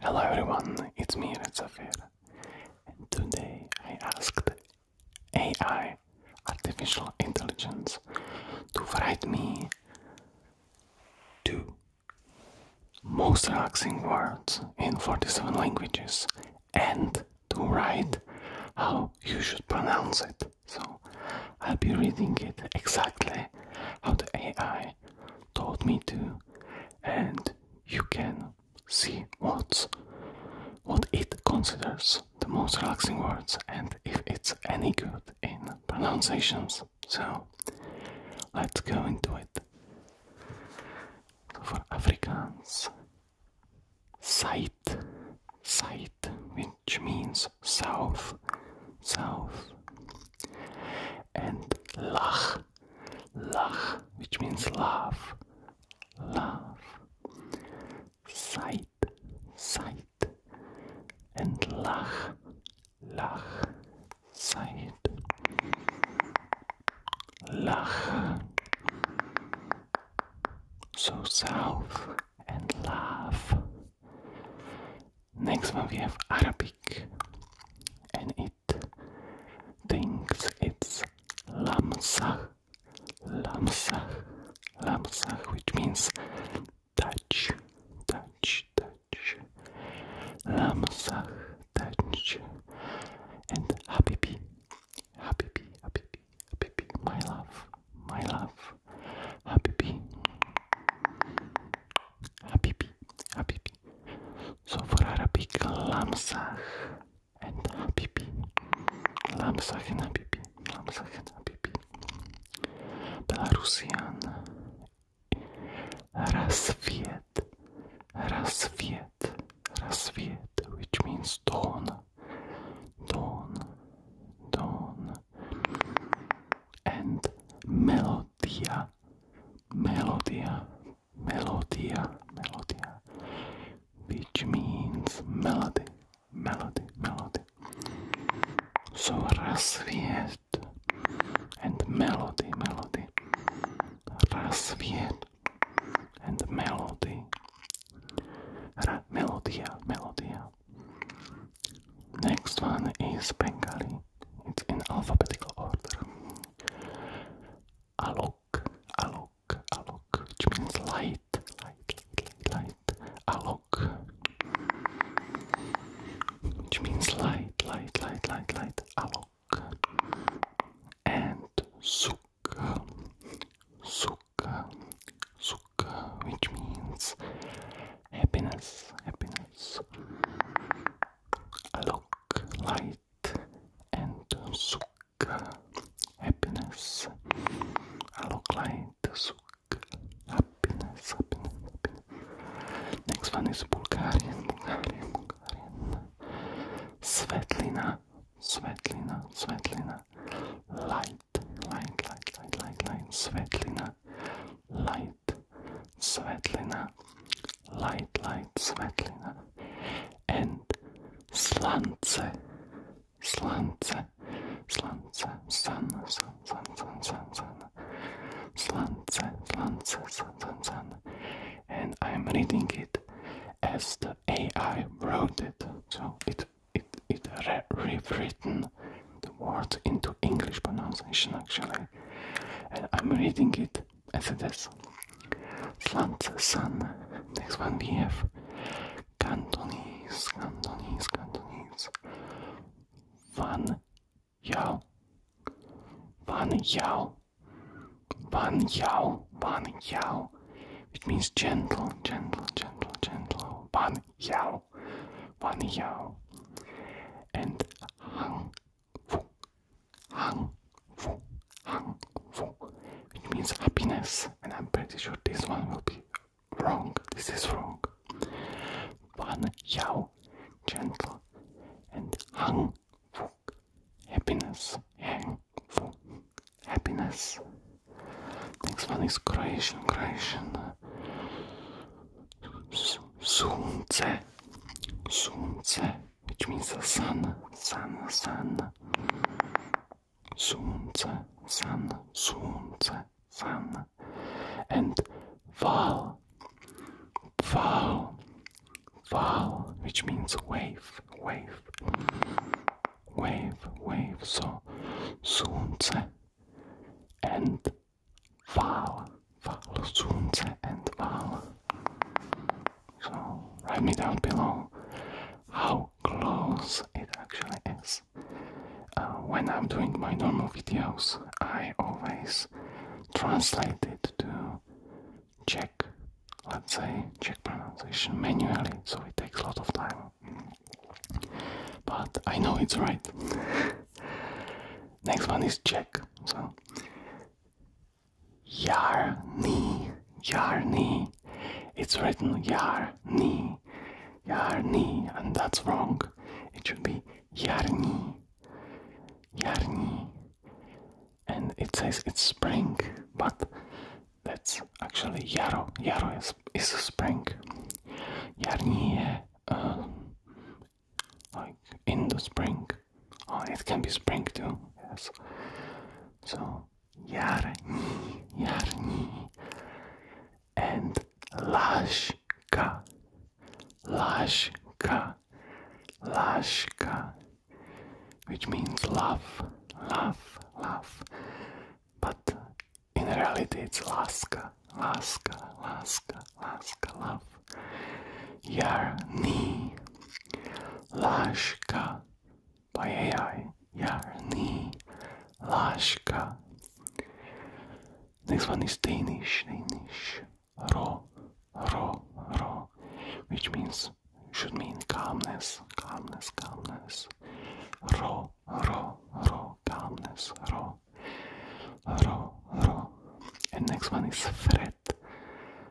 Hello everyone, it's me Redzafir and today I asked AI, artificial intelligence, to write me to most relaxing words in 47 languages and to write how you should pronounce it. So I'll be reading it exactly how the AI told me to and you can see what's what it considers the most relaxing words and if it's any good in pronunciations. So let's go into it for Africans, Site Site which means south south and Lach Lach which means love love Site Site and Lach Lach Zeit. Lachen. So south and laugh. Next one we have Arabic and it thinks it's Lamsah. Lamsah. Lamsah which means touch, touch, touch. Lamsah touch and habibi, habibi, habibi, habibi, my love, my love, habibi, habibi, habibi. So for Arabic, lamsah and habibi, lamsah and habibi, lamsah and habibi. Belarusian Рассвет, рассвет, рассвет, which means dawn, dawn, dawn. And melodia, melodia, melodia, melodia, which means melody, melody, melody. So rassviet and melody, melody. Rasviet and the melody. melodia, melodia. Next one is Bengali. It's in alphabetical order. Alok, alok, alok, which means light, light, light, light, alok, which means light, light, light, light, light, alok and sukha sukha sukha which means happiness happiness alok light and sukha happiness alok light sukha happiness happiness happiness next one is Bulgarian Bulgarian Hungarian. Svetlina, Svetlina, Svetlina. Light, light, light, light, light, light. Svetlina, light, Svetlina, light, light, Svetlina. And slance, slance, slance, sun, sun, sun, sun, sun, sun. Slance, Slance, Slance, Slance, and I'm reading it as the AI wrote it. So it it it rewritten the words into English pronunciation actually, and I'm reading it as it is. Slance, Sun. Next one we Cantonese, Cantonese, Cantonese. Fun. Yao, Wan Yao, Wan Yao, Wan Yao, which means gentle, gentle, gentle, gentle. Wan Yao, Wan Yao, and hung, hung, hung, hung, Hang Fu, which means happiness. And I'm pretty sure this one will be wrong. This is wrong. Wan Yao, gentle, and hung happiness, hang, happiness. Next one is creation. Creation. Uh, sunce, sunce, which means the sun, sun, sun. Sunce, sun, sunce, sun. And Val, Val, Val, which means wave, wave, wave, wave. So Sunce and Val, Val, Sunce and Val. So write me down below how close it actually is. Uh, when I'm doing my normal videos, I always translate it to Czech, let's say check pronunciation manually, so it takes a lot of time. But I know it's right. Next one is Czech, so Yarni, Yarni. It's written Yarni, Yarni, and that's wrong. It should be Yarni, Yarni. And it says it's spring, but that's actually Yaro. Yaro is, is spring. Yarni, uh, like in the spring. Oh, it can be spring too, yes. So, Yarni, Yarni. And Lashka, Lashka, Lashka, which means love, love, love. But in reality, it's Laska, Laska, Laska, Laska, love. Yarni, Lashka, by AI, Yarni, Lashka. Next one is Danish, Danish ro, ro, ro, which means should mean calmness, calmness, calmness. Ro, ro, ro, calmness, ro, ro, ro. And next one is fret,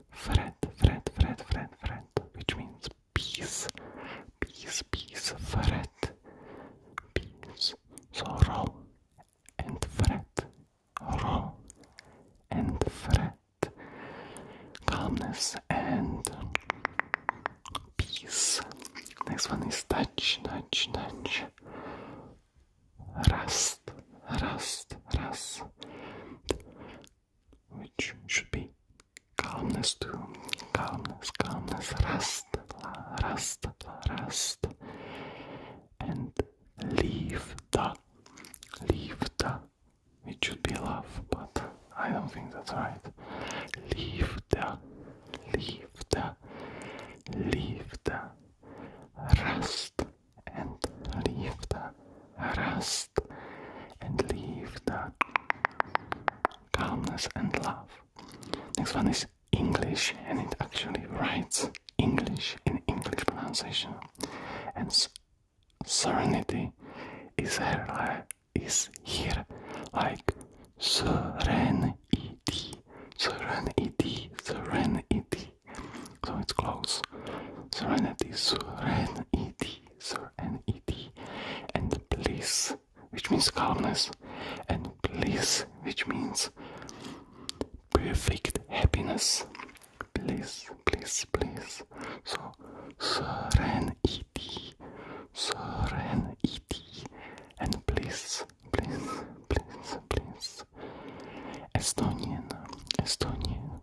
fret, fret, fret, fret, fret, which means peace, peace, peace, fret, peace. So ro and fret row and fret, calmness and peace. Next one is touch, touch, touch, rust, rust, rust, which should be calmness too. Calmness, calmness, rust, la, rust, rust, and Leave the, leave the. It should be love, but I don't think that's right. Leave leave the, the, leave the rest, and leave the rest, and leave Liefda. Calmness and love. Next one is English, and it actually writes English in English pronunciation, and serenity is here, uh, is here like serenity, serenity, serenity. So it's close. Serenity, serenity, serenity, and bliss, which means calmness, and bliss, which means perfect happiness. Please, please, please. So, serenity, serenity, and please, please, please, please. Estonian, Estonian,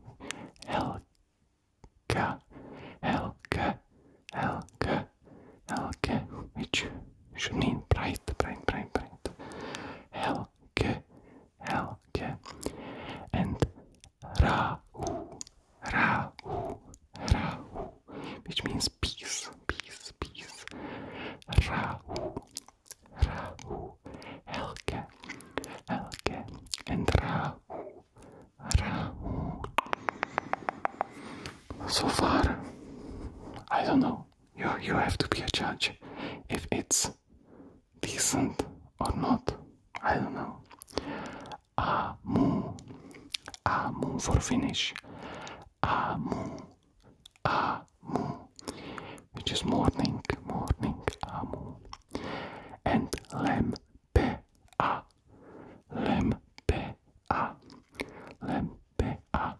elka, elka, elka, Helga, which should mean bright, bright, bright, bright. Helga. Helge, Helge, and Rahu, Rahu, Rahu, which means peace, peace, peace. Rahu, Rahu, Helge, Helge, and Rahu, Rahu. So far, I don't know. You you have to be a judge if it's decent or not. I don't know. Amu, amu for Finnish. Amu, amu, which is morning, morning, amu, and lempe, a, lempe, a, lempe. Lempea,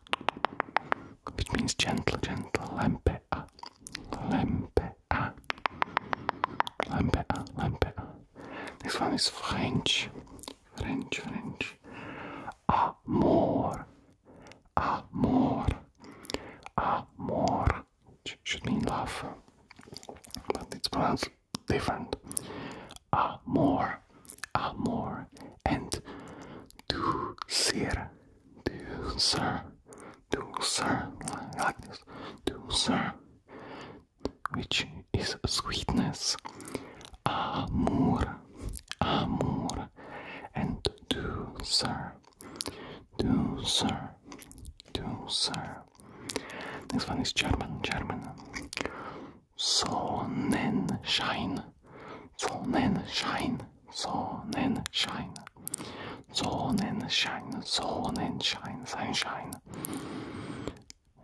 which means gentle, gentle. Lempea, lempea, lempea, lempea. This one is French, French, French. Amor, amor, amor, which should mean love, but it's pronounced different. Amor amor, and dulcer, dulcer, dulcer, like this, dulcer, which is sweetness, amor, amor, and dulcer, dulcer, dulcer. This one is German, German. Sonnenschein, Sonnenschein, Sonnenschein, Sonnenschein, Sonnenschein, Sunshine.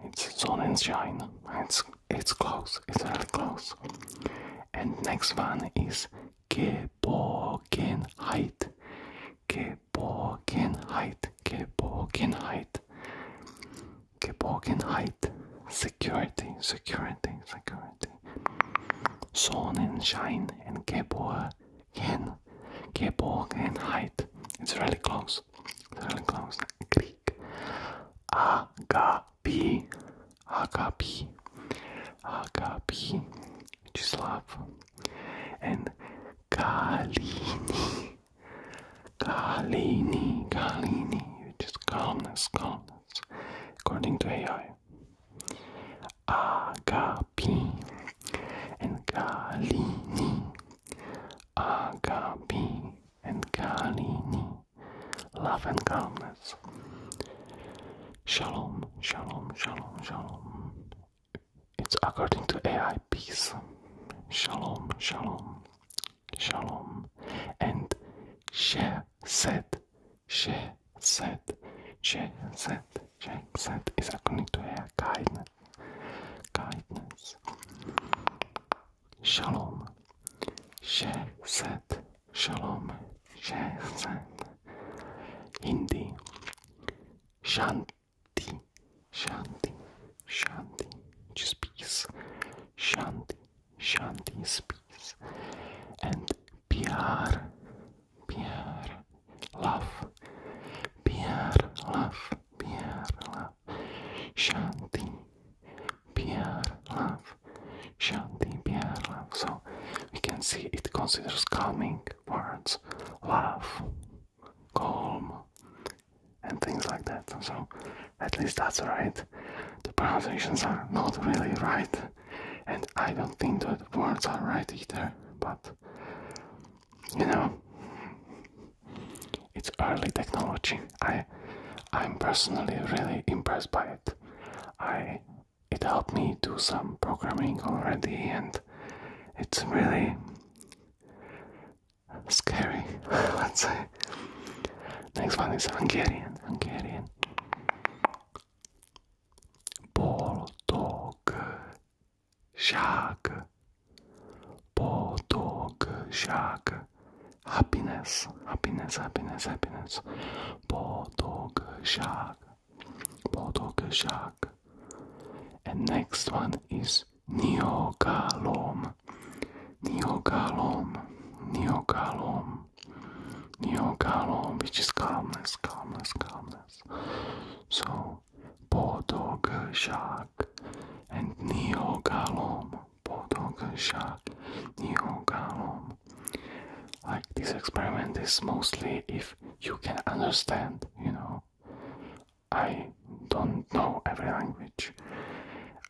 It's Sonnenschein. It's it's close. It's very close. And next one is Geborgenheit, Geborgenheit, Geborgenheit, Geborgenheit. Security, security, security. Sonnenschein and shine and Geborgenheit. It's really close. It's really close. Greek. Agapi. Agapi. Agapi. Which is love. And Galini. Galini. Galini. Which is calmness. Calmness according to AI. Agapi and Galini. Agapi and Galini. Love and calmness. Shalom, shalom, shalom, shalom. It's according to AI peace. Shalom, shalom, shalom. And Shalom set, share, set, share, set, share, set is according to her guidance. Shalom, share, set, shalom, share, set. Hindi, shanti, shanti, shanti, peace, shanti. Shanti, peace and Pyar, Pyar, love, Pyar, love, Pyar, love, Shanti, Pyar, love, Shanti, Pyar, love. So we can see it considers calming words, love, calm, and things like that. So at least that's right. The pronunciations are not really right, and I don't think that the words are right either, but you know it's early technology. I I'm personally really impressed by it. I it helped me do some programming already and it's really scary, let's say. Next one is Hungarian. Hungarian. shark. Boldogság. shark. Happiness. Happiness, happiness, happiness. Boldogság. shark. And next one is nyugalom. Neogalom, Neogalom, calm, which is calmness, calmness, calmness. So, Bodogeshark and Neogalom, Bodogeshark, Neogalom. Like this experiment is mostly if you can understand, you know. I don't know every language,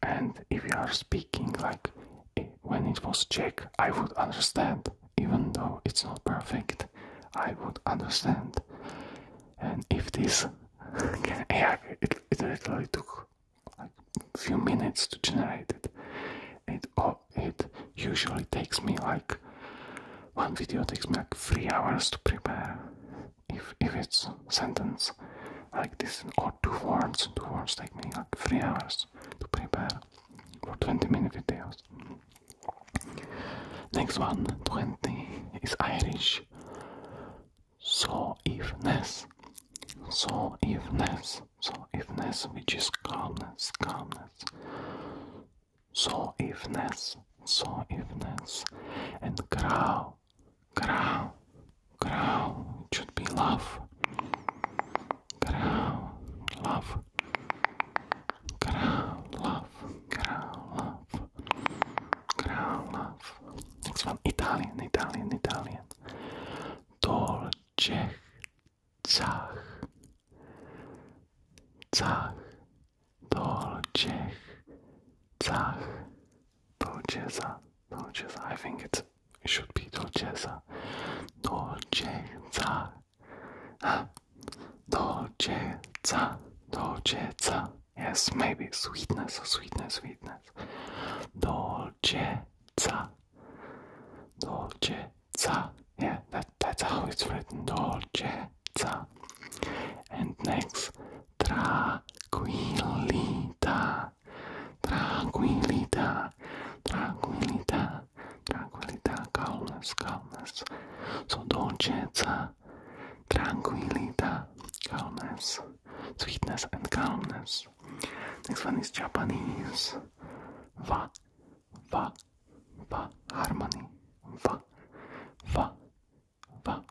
and if you are speaking like when it was Czech, I would understand, even though it's not perfect. I would understand, and if this, yeah, it, literally took like few minutes to generate it. It oh, it usually takes me like one video takes me like three hours to prepare. If if it's sentence like this or two words. Two words take me like three hours to prepare for 20 minute videos. Next one, 20 is Irish. So ifness. So ifness. So ifness which is calmness, calmness. So ifness. So ifness. And grow. Crow, crow, it should be love. Crow, love. Crow, love, crow, love. Crow, love. Next one, Italian, Italian, Italian. Dolce, zach, zach, dolce, zach. Dolcezza, Dolcezza. I think it should be Dolcezza. Dolcezza. Huh? Dolcezza, Dolcezza. Yes, maybe sweetness, sweetness, sweetness. Dolcezza. Dolcezza. Yeah, that, that's how it's written. Dolcezza. And next, tranquillita. Tranquility, tranquility, tranquilidad, tranquilidad, calmness, calmness. So dolcezza, calmness, sweetness and calmness. Next one is Japanese. Wa, wa, wa, harmony. Va, va, va.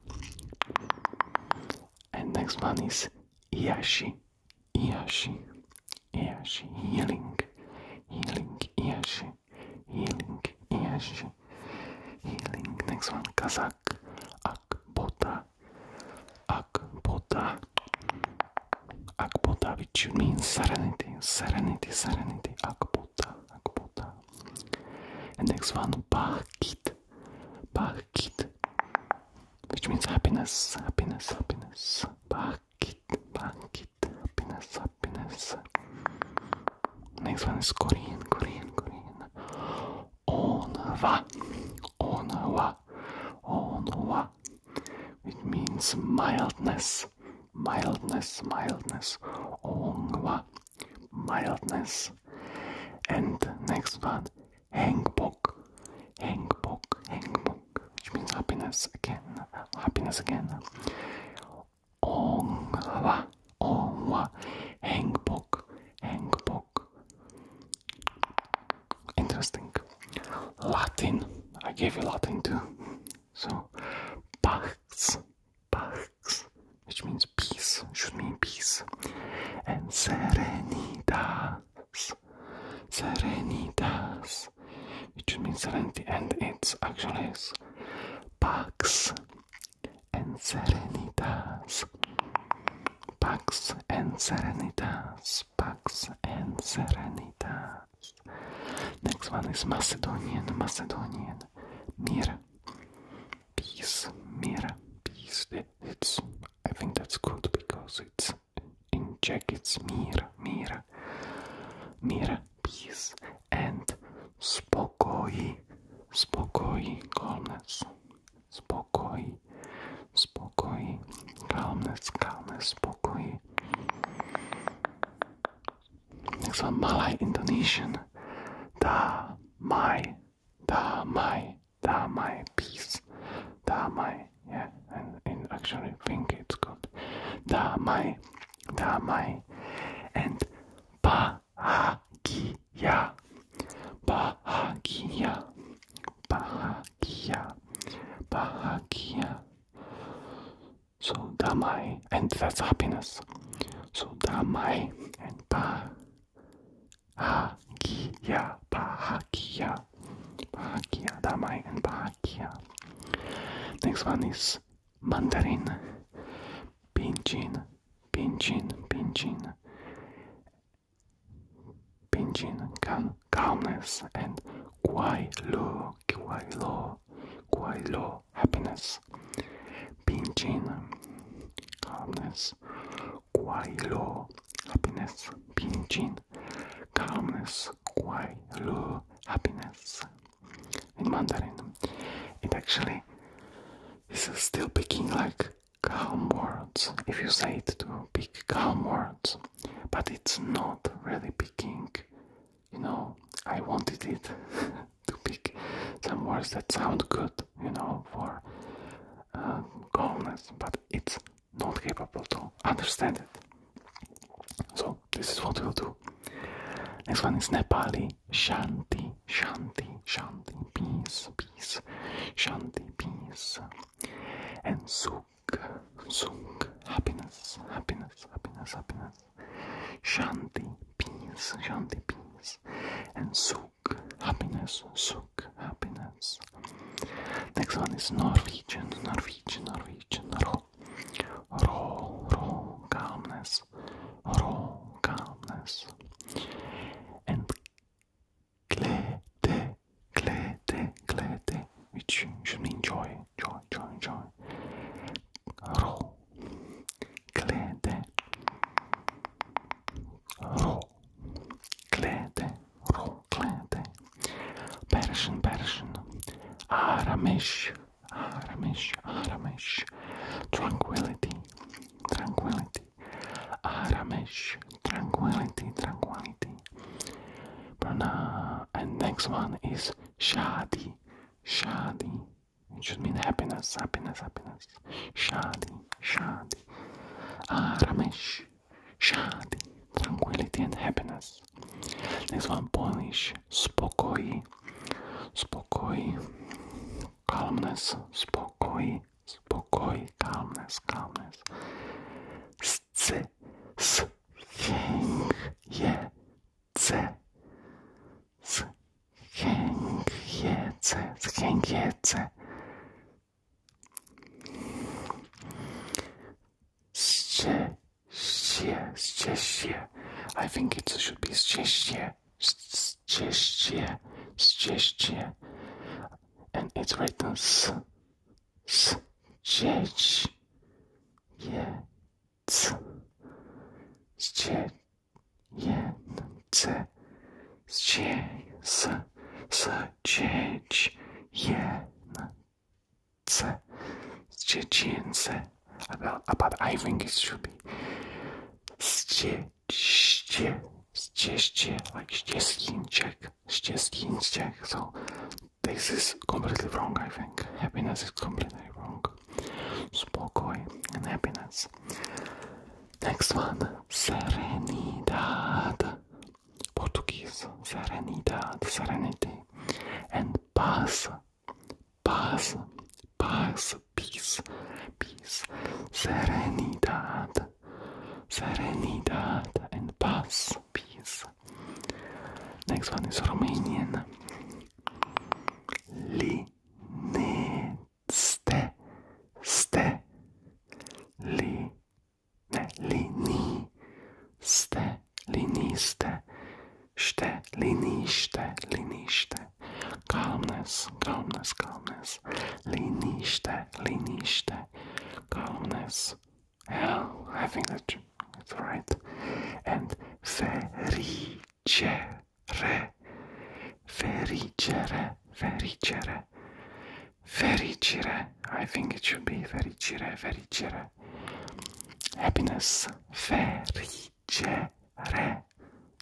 And next one is Iashi, Iashi, Iashi, healing, healing, Iashi, healing, Iashi, healing. Next one, Kazak, Akbota, Akbota, Akbota, which means serenity, serenity, serenity, Akbota, Akbota. And next one, Bahkit, Bahkit. which means happiness, happiness, happiness. Bakit, bakit, happiness, happiness. Next one is Korean, Korean, Korean. Onwa, onwa, onwa, which means mildness, mildness, mildness. Onwa, mildness. And next one, hengpo, Mok. Heng Which means happiness again. Happiness again. Ongwa. Ongwa. Heng Mok. Interesting. Latin. I gave you Latin too. So, Pax. Pax. Which means peace, should mean peace. And serenitas, serenitas, which means serenity, and it's actually is and serenitas, pax and serenitas, pax and serenitas. Next one is Macedonian, Macedonian, mir peace mira peace it's i think that's good because it's in czech it's mira mira mira peace and spokoi spokoi calmness spokoi spokoi calmness calmness spokoi next one malay indonesian da mai da mai Damai piece. Damai, yeah, and, actually think it's called Damai, Damai, and Bahagia, Bahagia, Bahagia, Bahagia. So Damai, and that's happiness. So Damai and Bahagia. Bahagia, Bahagia, Bahagia, Damai and Bahagia. Next one is Mandarin, Pinjin, Pinjin, Pinjin, Pinjin, Cal Calmness and low, quiet, low, Happiness. Pinjin, Calmness, Guailo, happiness, pinching, calmness, Guailo, happiness. In Mandarin, it actually is still picking like calm words if you say it to pick calm words, but it's not really picking. You know, I wanted it to pick some words that sound good, you know, for uh, calmness, but it's not capable to understand it. So this is what we'll do. Next one is Nepali Shanti, Shanti, Shanti, peace, peace, Shanti, peace, and Sukh, Sukh, happiness, happiness, happiness, happiness, Shanti, peace, Shanti, peace, and Sukh happiness, suk, happiness. Next one is Norwegian, Norwegian, Norwegian, ro, ro, ro, calmness, ro, calmness. And glede, glede, glede, which should mean joy, joy, joy, joy. Ro, glede, ro. Klete, Roklete, Persian, Persian, Aramesh, Aramesh, Aramesh, Tranquility, Tranquility, Aramesh, Tranquility, Tranquility. Prana, and next one is Shadi, Shadi, it should mean happiness, happiness, happiness. Ramesh, Shadi, Shadi. Ah, Ramesh, Shadi, tranquility and happiness. Next one, Polish, Spokoi, Spokoi, calmness, Spokoi, Spokoi, calmness, calmness. Sce, s, jęk, je, c, Gängietze, Gängietze. Szczęście, I think it should be szczęście, szczęście, szczęście. And it's written s, s, szczęście, szczęście. Jęce z dzieć jęce z dziecięce about I think it should be ście ścieście like ścieskińczek ścieskińczek so this is completely wrong I think happiness is completely wrong spokoj and happiness Tak Next one. Serenidad. Portuguese. Serenidad. Serenity. And paz. Paz. Paz. Peace. Peace. Serenidad. Serenidad and paz. Peace. Next one is Romanian. Lined. ste, ste, li, ne, li, ni, ste, li, niste, šte, li, nište, li, nište, kalmnes, kalmnes, kalmnes, li, nište, li, nište, kalmnes, hell, I think that's right, and fe, ri, če, re fericere fericere fericire I think it should be fericire fericire happiness fericere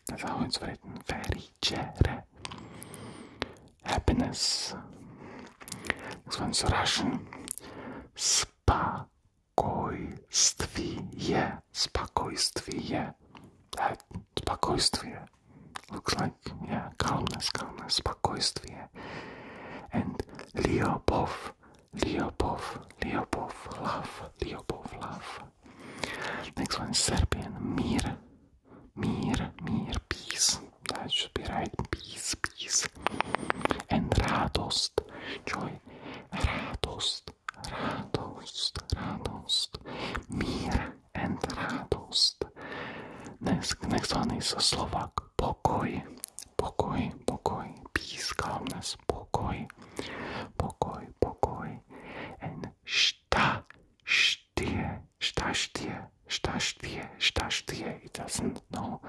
that's how it's written fericere happiness this one's Russian spokojstviye spokojstviye that спокойствие. Looks like, yeah, calmness, calmness, спокойствие. And Leopov, Leopov, Leopov, love, Leopov, love. Next one Serbian, Mir, Mir, Mir, peace. That should be right, peace, peace. And Radost, joy, Radost, radost, radost, mir and radost. Next, next one is a Slovak pokoj, pokoj, pokoj, peace, calmness, pokoj, pokoj, pokoj, and šta, štie, šta štie, šta štie, šta štie, it doesn't know,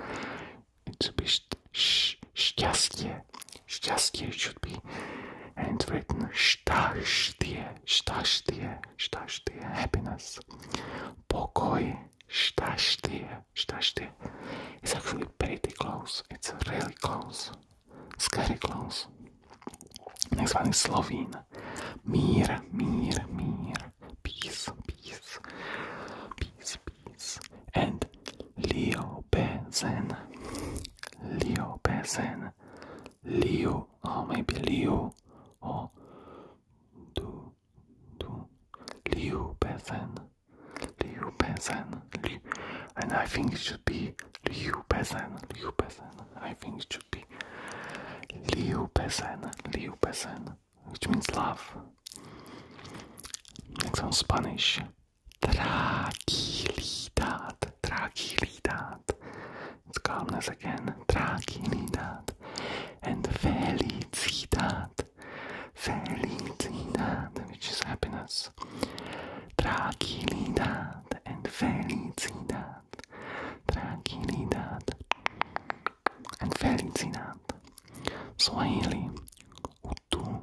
it should be sh, šťastie, šťastie, should be handwritten Stachtie, Stachtie, Stachtie, happiness. Pokoi, Stachtie, Stachtie. It's actually pretty close. It's really close. Scary close. Next one is Slovene. Mir, mir, mir. Peace, peace. Peace, peace. And Leo Bezen. Leo Bezen. Leo or oh, maybe Leo or oh. do do Leo Bezan Liu Bezan and I think it should be Leo Bezan Leo Bezan I think it should be Leo Bezan Leo Bezan which means love. Next on Spanish Tranquilidad, tranquilidad. It's calmness again. Tranquilidad. And felicidad, felicidad, which is happiness. Tranquilidad and felicidad. Tranquilidad and felicidad. Swahili. Utu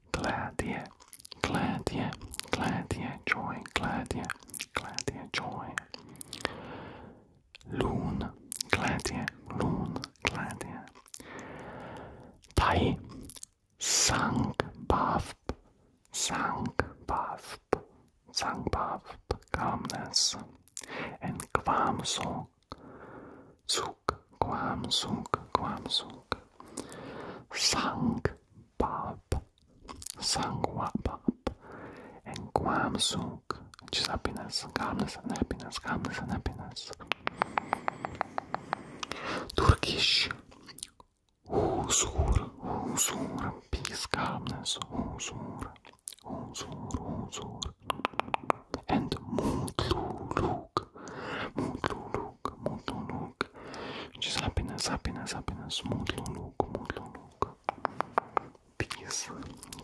Gladia, Gladia, Gladia, joy, Gladia, Gladia, joy. Loon, Gladia, Loon, Gladia. Tai, Sank, Baf, Sank, Baf, Sank, Baf, calmness. And Kwam, Song, Suk, Kwam, Suk, Kwam, Suk. Sank, Bab, Sangwa Bab, and Guam Suk, which is happiness, calmness, and happiness, calmness, and happiness. Turkish, Huzur, Huzur, peace, calmness, Huzur, Huzur, Huzur, and Mutluluk, Mutluluk mutluluk, mutluluk. Just happiness, happiness, happiness, mutluluk, mutluluk. Peace,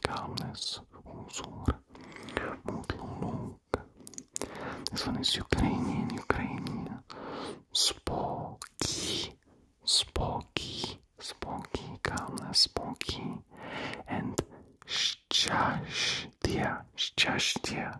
calmness, huzur, mutluluk. This one is Ukrainian, Ukrainian. Spooky, spooky, spooky. calmness, spoky. And щастя, щастя.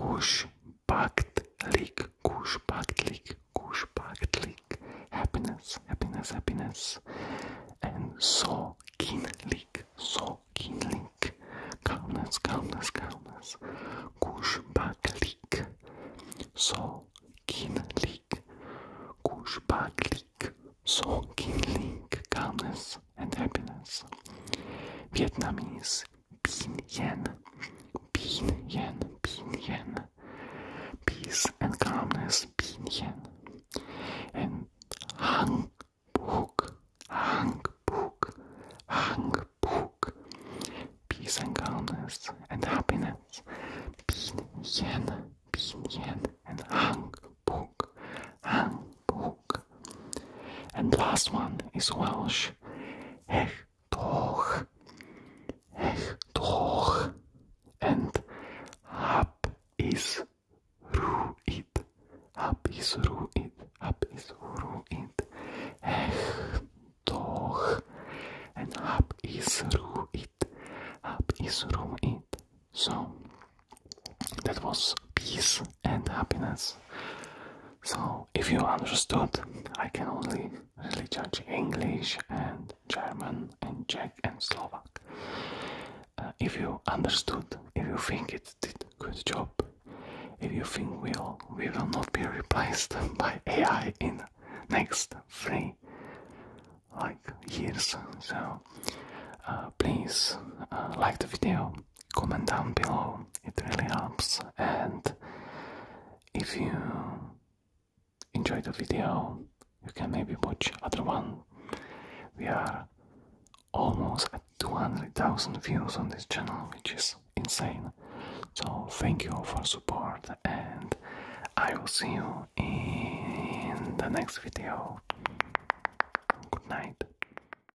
Kush packed leak, kush packed leak, kush packed leak. Happiness, happiness, happiness. And so kin leak, so kin leak. Calmness, calmness, calmness. Kush packed leak. So kin leak. Kush packed leak. So kin leak. Calmness and happiness. Vietnamese. Bin Yen, Bin Yen, Bin Yen, peace and calmness, Bin Yen, and Hang Book, Hang Book, Hang Book, peace and calmness and happiness, Bin Yen, Bin Yen, and Hang Book, Hang Book, and last one is Welsh. Hech toch. Hech toch. And hap is ruit. Hap is ruit. Hap is ruit. Hech toch. And hap is ruit. Hap is ruit. So that was peace and happiness. So, if you understood, I can only really judge English and German and Czech and Slovak. Uh, if you understood, if you think it did good job, if you think we'll, we will not be replaced by AI in next three like years, so uh, please uh, like the video comment down below, it really helps. And if you enjoy the video, you can maybe watch other one. We are almost at 200,000 views on this channel, which is insane. So thank you all for support and I will see you in the next video. Good night.